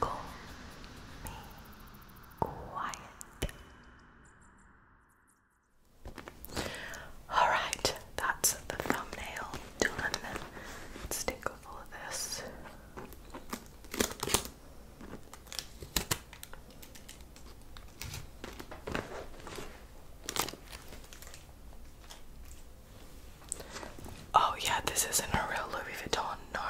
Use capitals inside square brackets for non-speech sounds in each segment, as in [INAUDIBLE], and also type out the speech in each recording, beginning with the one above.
Call me quiet. Alright, that's the thumbnail done. Let's Oh, yeah, this isn't a real Louis Vuitton, no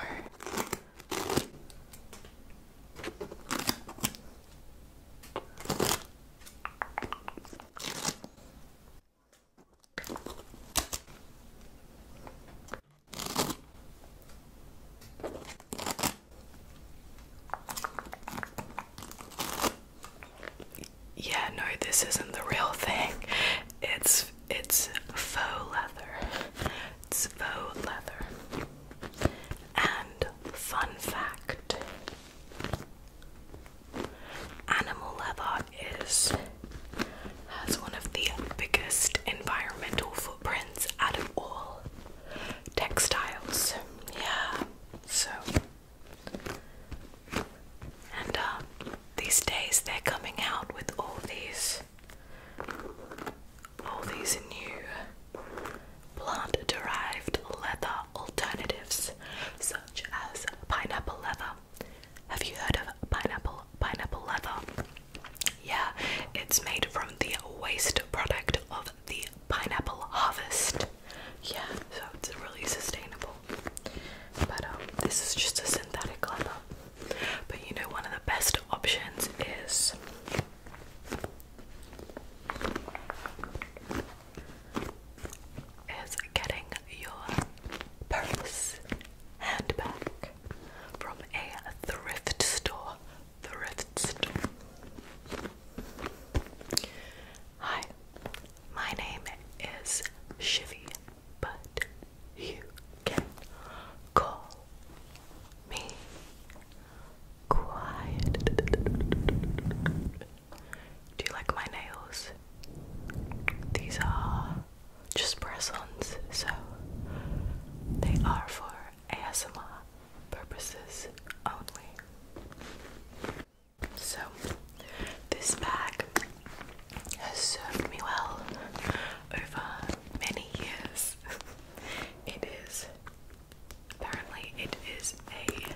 yeah, no, this isn't the real thing. It's it's faux leather. It's faux leather. And fun fact animal leather is has one of the biggest environmental footprints out of all textiles. Yeah. So and um, these days they're coming out with all these all these new plant-derived leather alternatives, such as pineapple leather. Have you heard of pineapple pineapple leather? Yeah, it's made from the waste product of the pineapple harvest. Yeah, so it's really sustainable but um, this is just a synthetic leather. But you know, one of the best options is is getting your purse handbag from a thrift store. Thrift store. Hi, my name is Shivy, but you can call me Quiet. Do you like my nails? These are just press so they are for ASMR purposes only. So, this bag has served me well over many years. [LAUGHS] it is, apparently, it is a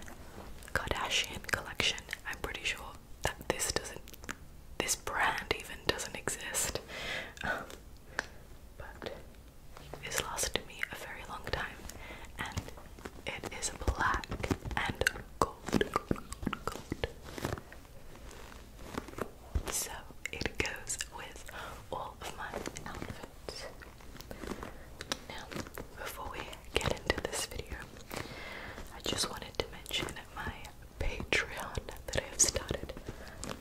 Kardashian collection. I'm pretty sure that this doesn't, this brand even doesn't exist. Um, but it's lasted me a very long time and it is black and gold. So it goes with all of my outfits. Now, before we get into this video, I just wanted to mention my Patreon that I have started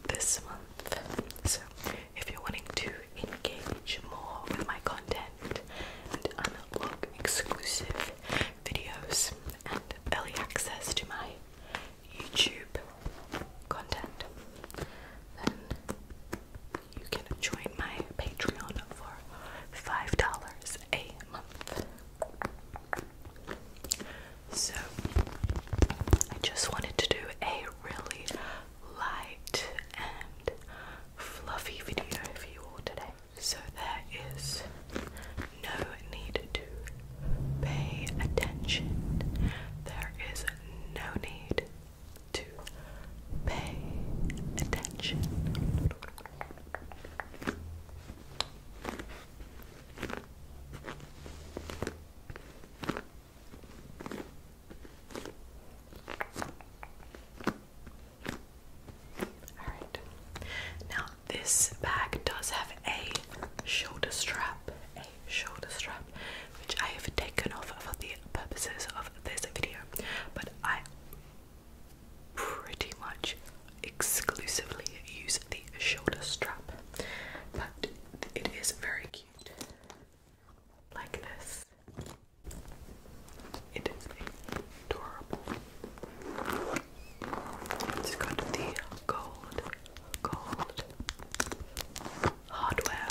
this month. So, if you're wanting to engage more with my content and unlock exclusive videos and early access to my YouTube content, then you can join my Patreon for $5 a month. So, I just wanted to do a really light and fluffy video for you all today so there is no need to pay attention. There is no need to pay attention. Now this bag does have a shoulder strap. A shoulder strap, which I have taken off for the purposes of this video. But I pretty much exclusively use the shoulder strap. But it is very cute. Like this. It is adorable. It's got the gold, gold hardware.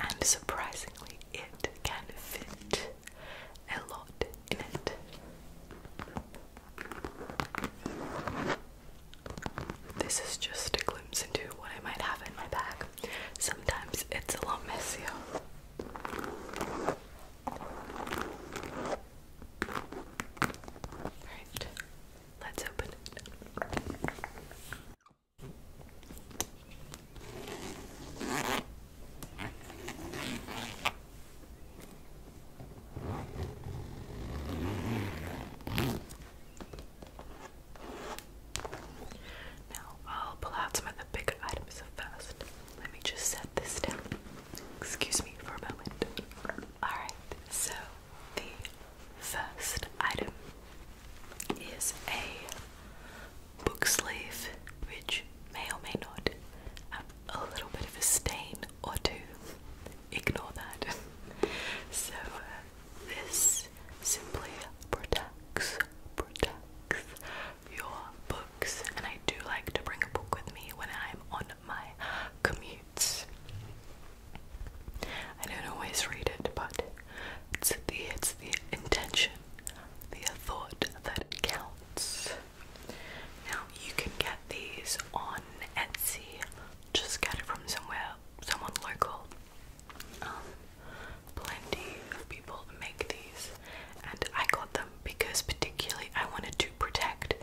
And surprisingly, it can fit a lot in it. This is just a glimpse into what I might have in my bag. Sometimes it's a little messier. Alright, let's open it. Now I'll pull out some of the big items first. Let me just set this down. Excuse me for a moment. Alright, so the first item is a book sleeve, which may or may not have a little bit of a stain or two. Ignore that. [LAUGHS] so uh, this simply protects, protects your books. And I do like to bring a book with me when I'm on my commutes. I don't always read it, but it's the it's the intention, the thought that counts. Now you can get these on Etsy. Just get it from somewhere, someone local. Um, plenty of people make these, and I got them because, particularly, I wanted to protect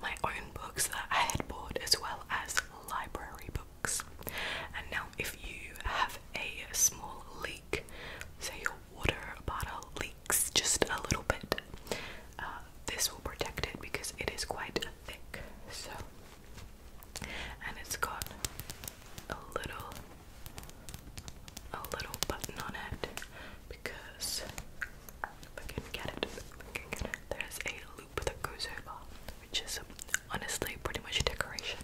my own books that I had bought as well as library books. And now, if you have a small leak, say your water bottle leaks just a little bit, uh, this will protect it because it is quite thick. So, and it's got a little a little button on it because I can get get it there's a loop that goes over which is honestly pretty much a decoration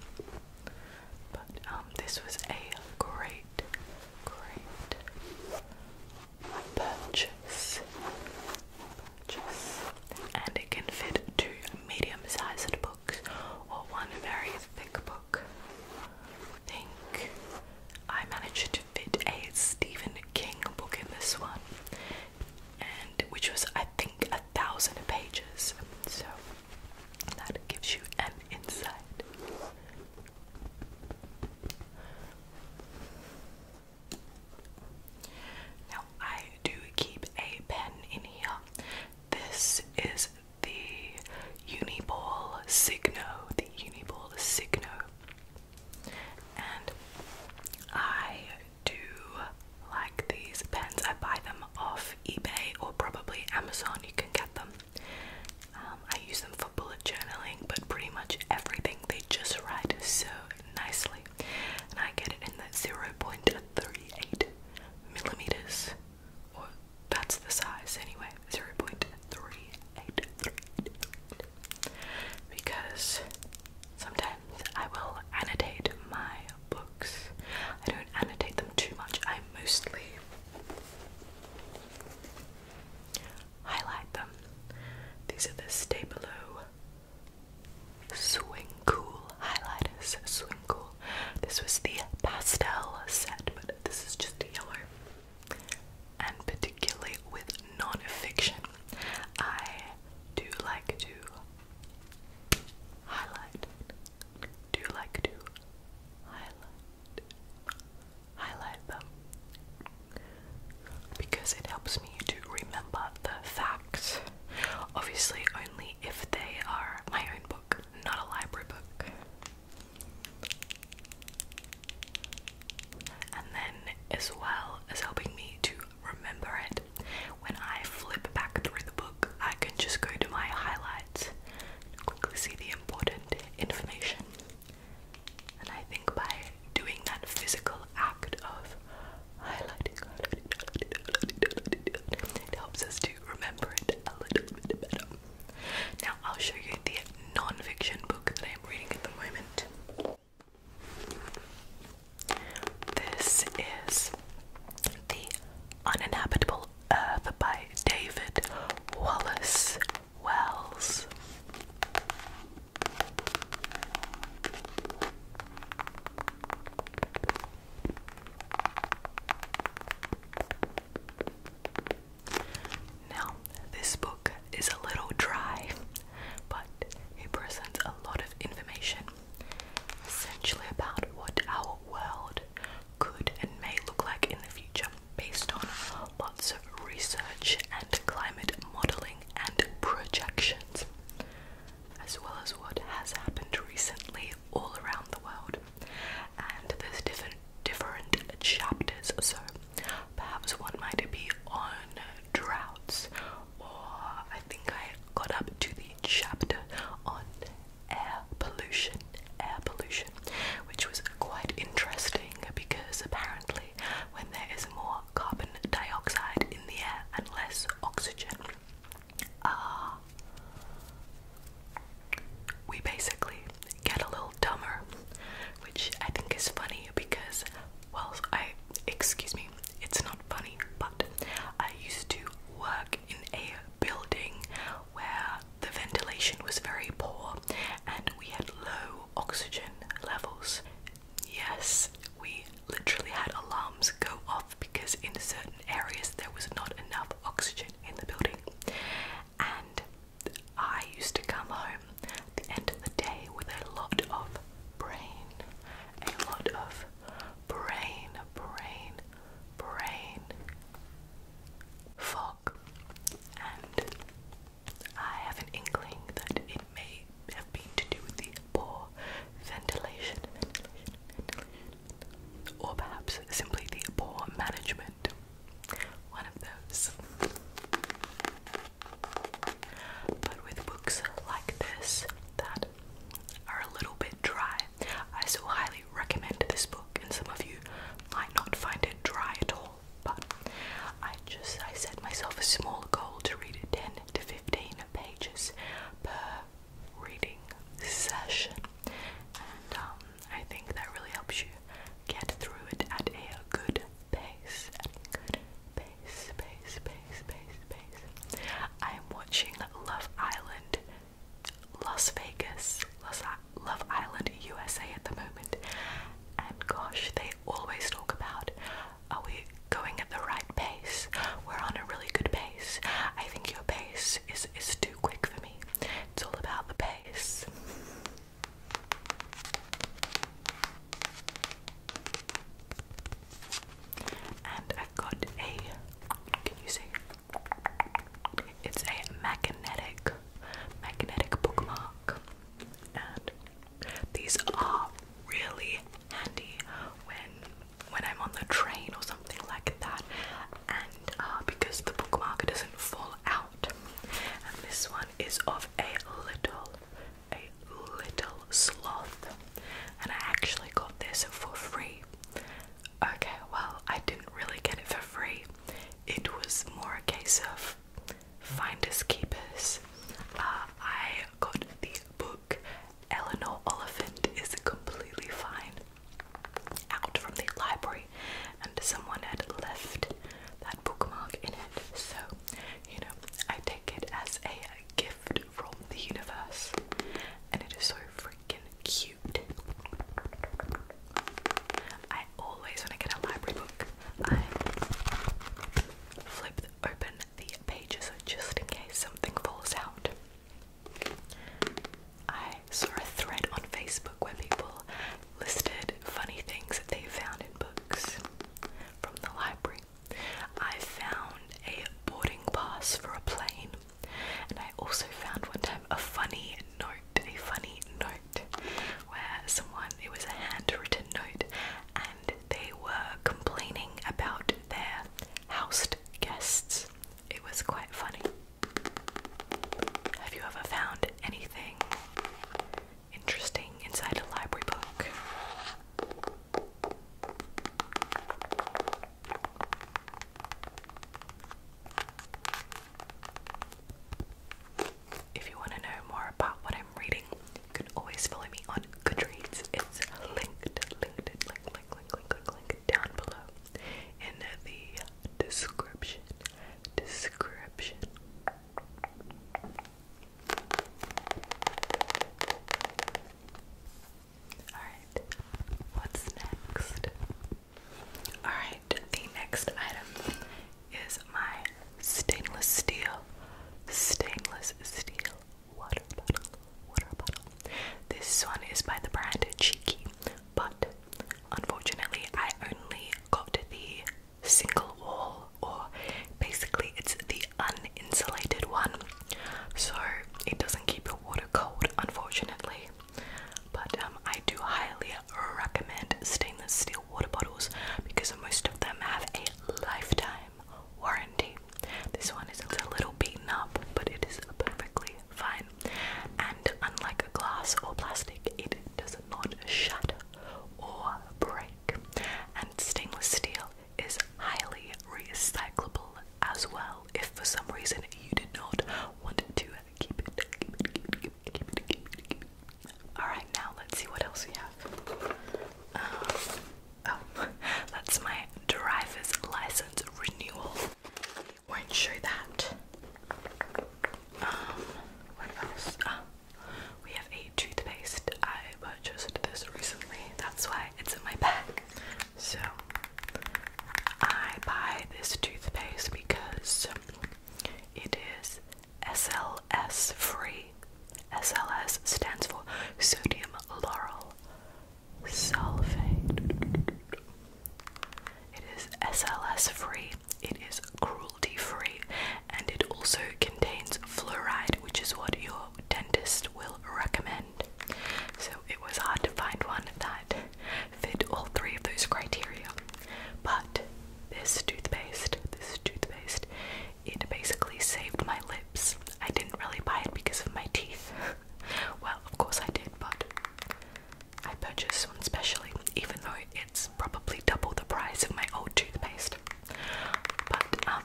but um, this was a great great purchase purchase and it can fit two medium-sized or one very thick book. I think I managed to fit a Stephen King book in this one, and which was I think a thousand pages. So that gives you an insight. Now I I do keep a pen in here. This is the Uniball Signo, the Uniball Signo, and I do like these pens. I buy them off eBay or probably Amazon. You can get them. Um, I use them for bullet journaling, but pretty much everything they just write so nicely and I get it in the 0.38 millimeters, or that's the size anyway, 0.38 because sometimes I will annotate my books. I don't annotate them too much, I mostly highlight them. These are the Stay Below Swing Cool highlighters. Swing Cool. This was the pastel set, but this is just a yellow. And particularly with non I do like to highlight. Do like to highlight. Highlight them because it helps me to remember the facts Obviously, only if they are my own book, not a library book. And then, as well as helping me to remember it, when I flip back through the book, I can just go to my highlights and quickly see the important information. And I think by doing that physical act of highlighting, highlighting, It helps us to remember it better. Now, I'll show you the non book that I'm reading at the moment. This is The Uninhabitable Earth by David Wallace Wells. Now, this book is a little dry, but it presents a lot of information essentially about what our world could and may look like in the future based on lots of research and climate modeling and projections as well as what has happened recently all around the world. And there's different different chapters, so perhaps one might be on droughts, or I think I got up to the chapter on air pollution, air pollution, which was quite interesting because apparently when there is more carbon dioxide in the air and less oxygen, uh, we basically get a little dumber, which I think is funny because, well, I excuse me, it's not funny, but I used to work in a building where the ventilation was very poor and we had low oxygen levels. Yes, we literally had alarms go off because in certain areas there was not enough oxygen in the building. And I used to come home at the end of the day with a lot of brain, a lot of brain, brain, brain fog. And I have an inkling that it may have been to do with the poor ventilation, ventilation, ventilation, or perhaps simply the poor management. One of those. But with books like this that are a little bit dry, I so highly recommend this book, and some of you might not find it dry at all. But I just I set myself a small goal to read 10 to 15 pages per reading session, and um, I think that really helps you get through it at a good pace. good pace, pace, pace, pace, pace. I am watching Love Island, Las Vegas, Las Love Island, USA at the moment, and gosh, they always talk about are we going at the right pace. We're on a really good pace. I think your pace is is too quick for me. It's all about the pace. And I've got a can you see? It's a magnetic magnetic bookmark. And these are really handy when when I'm on the train or something like that, and uh, because the bookmark doesn't fall out. And this one is of a little, a little sloth, and I actually got this for free. Okay, well, I didn't really get it for free. It was more a case of finders keepers. Uh, I got the book Eleanor Oliphant is completely fine. Out from the library, and someone had left that bookmark in it. So, you know, I take it as a gift from the universe, and it is so freaking cute. I always, when I get a library book, I flip open the pages just in case something falls out. I saw a thread on Facebook where people listed funny things that they found in books from the library. I found a boarding pass for a plane, and I also found one time a funny note, a funny note where someone, it was a handwritten note, and they were complaining about their house guests. It was quite funny. Have you ever found anything interesting inside a library book? If you want to know more about what I'm reading, you can always follow me on Goodreads. It's linked, linked, linked, linked, down below in the description. Description. Alright, what's next? Alright, the next item is my stainless steel, stainless steel water bottle, water bottle. This one is by the brand Cheeky, but unfortunately, I only got the single wall, or basically, it's the uninsulated one, so it doesn't keep your water cold, unfortunately. But um, I do highly recommend stainless steel water bottles because most of them have a lifetime warranty. This one is a little beaten up, but it is perfectly fine. And unlike glass or plastic, it does not shatter or break. And stainless steel is highly recyclable as well. If for some reason you did not want to keep it, All right, now let's see what else we have. Um, Oh, [LAUGHS] that's my driver's license renewal. Won't show that. Um, what else? Ah, we have a toothpaste. I purchased this recently. That's why it's in my bag. So, I buy this toothpaste because it is SLS free. SLS stands for sodium laurel sulfate. It is SLS free, it is cruelty free, and it also contains fluoride, which is what your dentist will recommend. So it was hard to find one that fit all three of those criteria. But this toothpaste, this toothpaste, it basically saved my lips. I didn't really buy it because of my teeth. [LAUGHS] well, of course I did, but I purchased one specially, even though it's probably double the price of my old toothpaste. But um,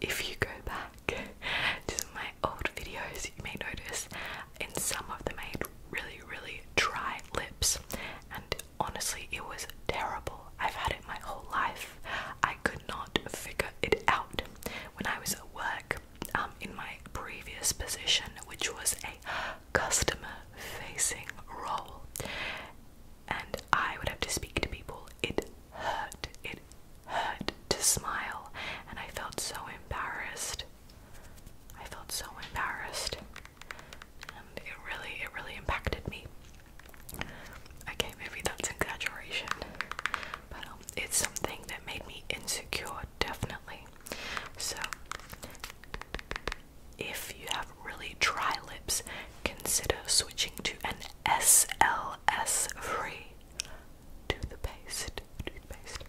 if you go back [LAUGHS] to my old videos, you may notice in some of them I had really, really dry lips, and honestly, it was terrible. I've had it my whole life. I could not figure it out when I was at work um, in my previous position, which was a customer facing role, and I would have to speak to people. It hurt, it hurt to smile, and I felt so embarrassed. I felt so embarrassed, and it really, it really impacted me. Okay, maybe that's exaggeration, but it's something that made me insecure, definitely. So, if you have really dry lips, consider switching to an SLS free toothpaste, toothpaste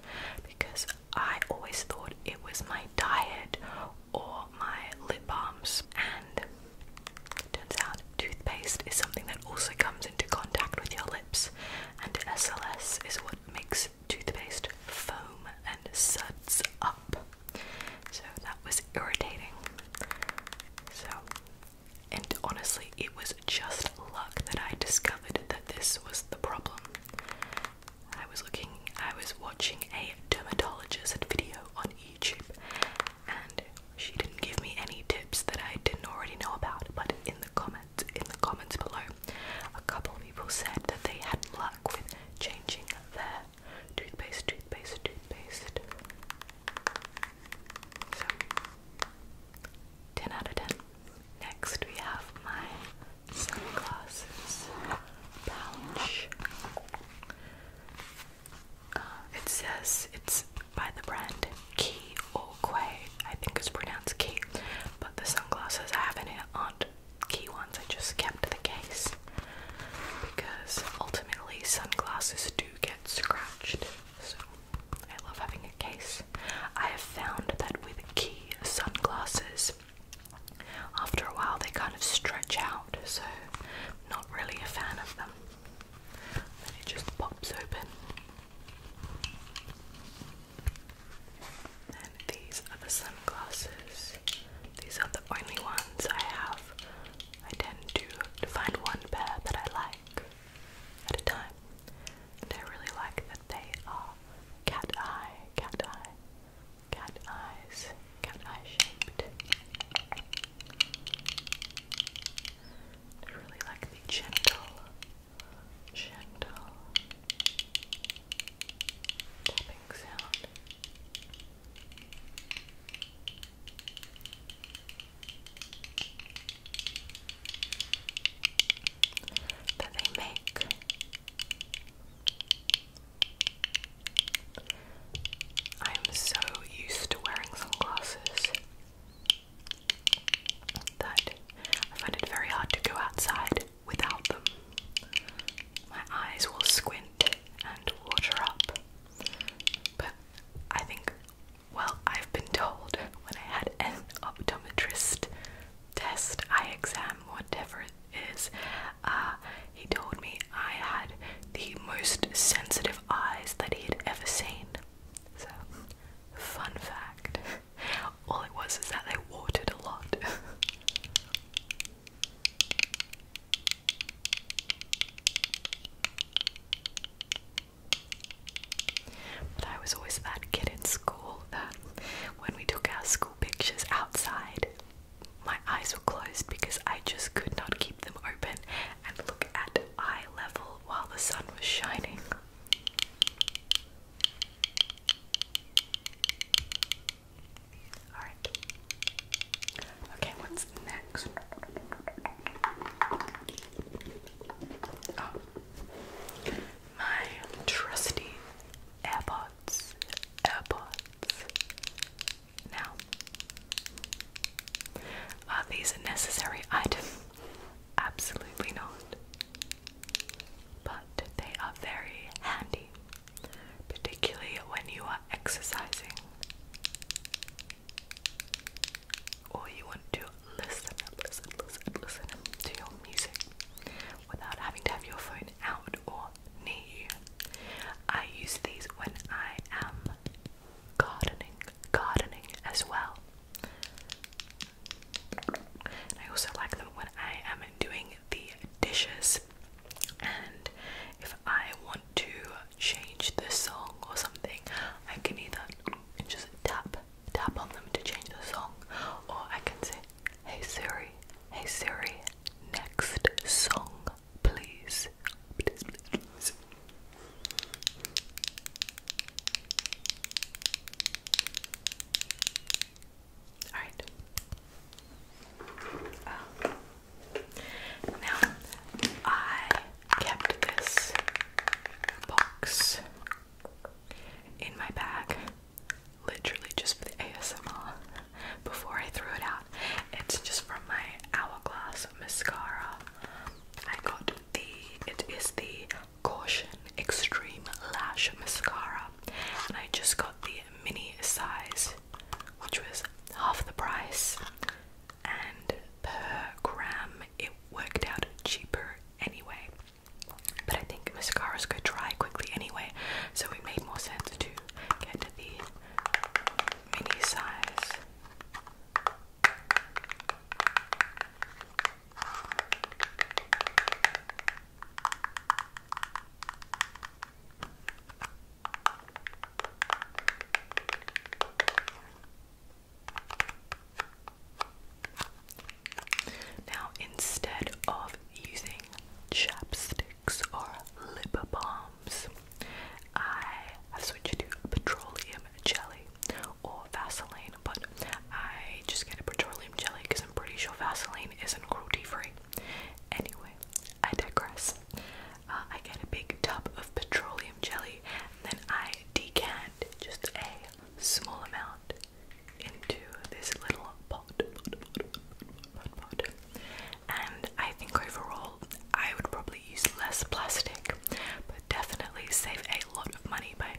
because I always thought it was my diet or my lip balms, and turns out toothpaste is something that also comes into contact with your lips and SLS is what makes toothpaste foam and suds up. So that was irritating. So, and honestly, it was just luck that I discovered that this was the problem. I was looking, I was watching a dermatologist video on YouTube, and she didn't give me any tips that I didn't already know about, but in the comments, in the comments below, a couple of people said that they had luck with changing their toothpaste, toothpaste, toothpaste. So, 10 out of 10. Next, we have my sunglasses pouch. Uh, it says it's by the brand Key or I think it's pronounced key, but the sunglasses I have in it aren't key ones, I just kept the case because ultimately sunglasses do get scratched. So I love having a case. I have found that with key sunglasses, after a while they kind of stretch out, so not really a fan of them. Then it just pops open these are the sunglasses. These are the only ones I have. I tend to find one pair that I like at a time. I really like that they are cat eye, cat eye, cat eyes, cat eye shaped. I really like the gentle, gentle tapping sound. That they make. I'm so used to wearing sunglasses that I find it very hard to go outside without them. My eyes will squint and water up. But I think, well, I've been told when I had an optometrist test, eye exam, whatever it is, uh, he told me I had the most sensitive eyes that he had ever seen. So Fun fact [LAUGHS] all it was is that they watered a lot. [LAUGHS] but I was always that kid in school that when we took our school pictures outside, my eyes were closed because I just could not keep them open and look at eye level while the sun was shining. Alright. Okay, what's next? Oh. My trusty AirPods. AirPods. Now, are these a necessary item? Absolutely not. But they are very handy, particularly when you are exercising or you want to listen, listen, listen, listen to your music without having to have your phone out or near you. I use these when I am gardening, gardening as well. I also like them when I am doing the dishes, and if I want to change the song or something, I can either just tap tap on them to change the song, or I can say, "Hey Siri, hey Siri, next song, please." please. All right. Um, now I kept this box in my bag, literally just for the ASMR. Before I threw it out, it's just from my Hourglass mascara. I got the it is the Caution Extreme Lash Mascara, and I just got the mini size, which was half the price, and per gram it worked out cheaper anyway. But I think mascaras go dry quickly anyway, so it made more sense to get the mini size. Now, instead of using chapsticks or lip balms, I have switched to petroleum jelly or Vaseline, but I just get a petroleum jelly because I'm pretty sure Vaseline isn't cruelty free. Anyway, I digress. Uh, I get a big tub of petroleum jelly and then I decant just a small amount into this little pot. And I think overall, I would probably use less plastic, but definitely save a lot of money by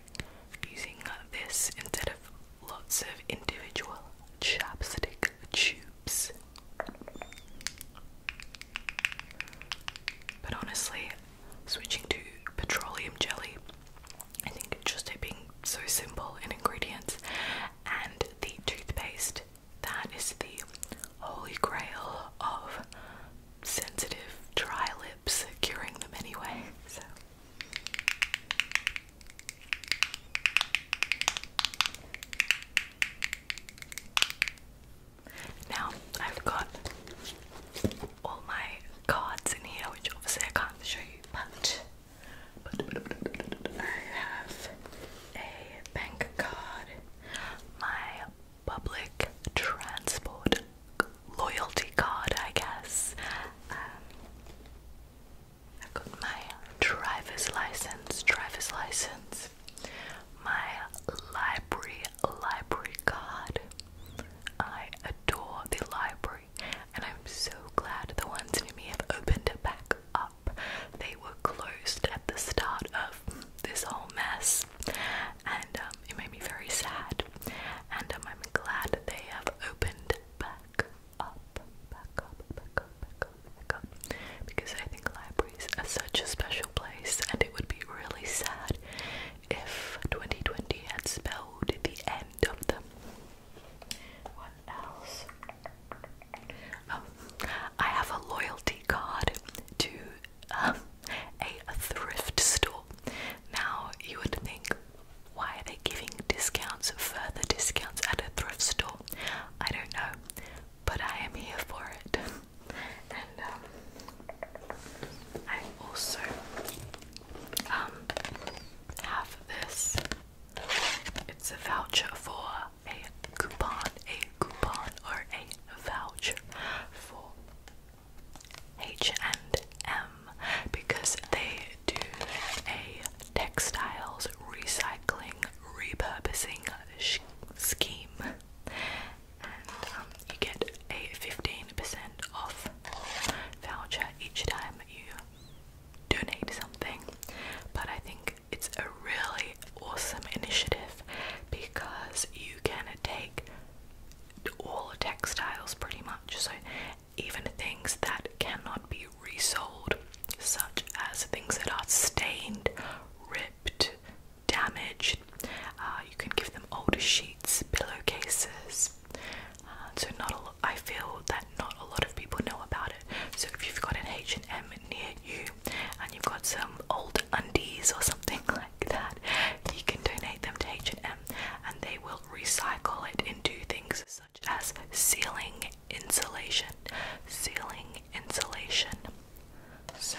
using uh, this instead of lots of individual chapstick tubes. But honestly, switching to petroleum jelly, I think just it being so simple in ingredients and the toothpaste that is the holy grail of sensitive, dry lips, curing them anyway. So. Now I've got all my cards in here, which obviously I can't show you, but, I have a bank card, my public transport loyalty card, I guess. Um, i got my driver's license, driver's license, my library, library card. I adore the library, and I'm so glad the ones near me have opened it back up. They were closed at the start of this whole mess, and um, it made me very sad. And um, I'm glad that they have opened back up, back up, back up, back up, back up, because I think libraries are such a special place, and it would be really sad if 2020 had spelled the end of them. What else? Um, I have a loyalty card to um, a thrift store. Now, you would think, why are they giving discounts, further discounts at a thrift store? I don't know, but I am here for it. and um, I also um, have this. It's a voucher for a coupon, a coupon, or a voucher for H&M because they do a textiles recycling repurposing scheme and um, you get a 15% off voucher each time you donate something but I think it's a really awesome initiative because you can take all textiles pretty much. So even things that cannot be resold, such as things that are stained, ripped, damaged, uh, you can give them older sheets, pillowcases. Uh, so not a lot, I feel that not a lot of people know about it. So if you've got an H&M near you and you've got some older undies or something [LAUGHS] like that, you can donate them to H&M and they will recycle it into things such as ceiling insulation, ceiling insulation. So,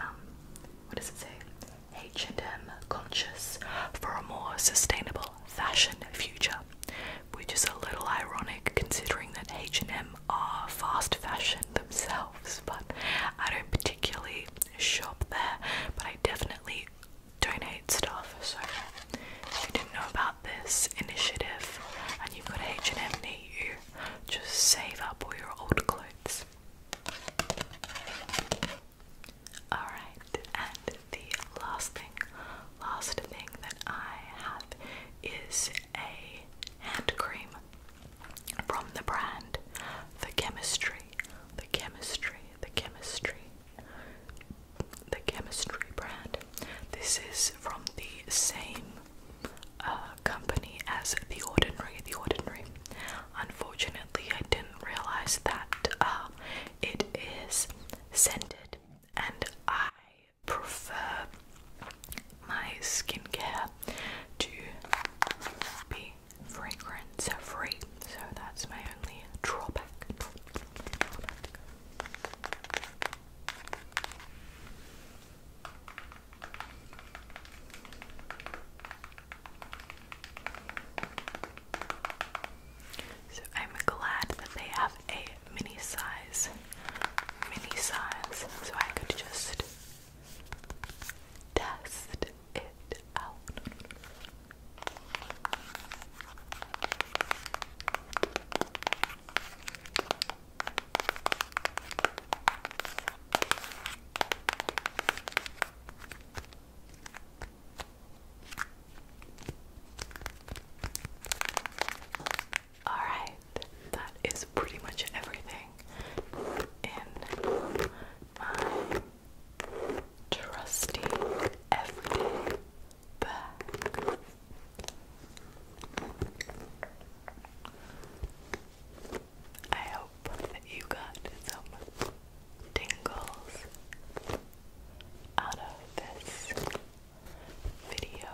um, what does it say? H&M conscious for a more sustainable fashion future, which is a little ironic considering that H&M are fast fashion themselves, but I don't particularly shop there, but I definitely donate stuff. So if you didn't know about this initiative and you've got H&M near you, just save up all your old clothes. Alright, and the last thing, last thing that I have is a hand cream from the brand. The chemistry, the chemistry, the chemistry, the chemistry brand. This is from the same uh, company as The Ordinary. The Ordinary. Unfortunately, I didn't realize that uh, it is scented, and I prefer my skincare to be fragrance free, so that's my only drawback. So I'm glad that they have a mini size, mini size, so I could just test it out. All right, that is pretty much everything in my trusty everyday bag. I hope that you got some tingles out of this video.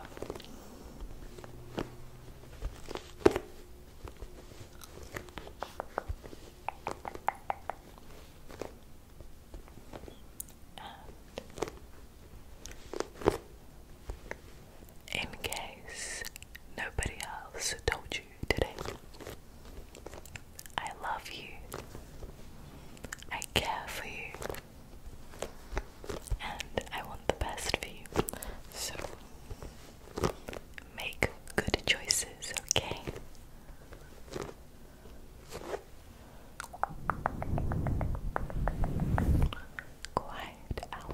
And in case nobody else told you today, I love you, I care for you, and I want the best for you. So Make good choices, okay? Quiet out.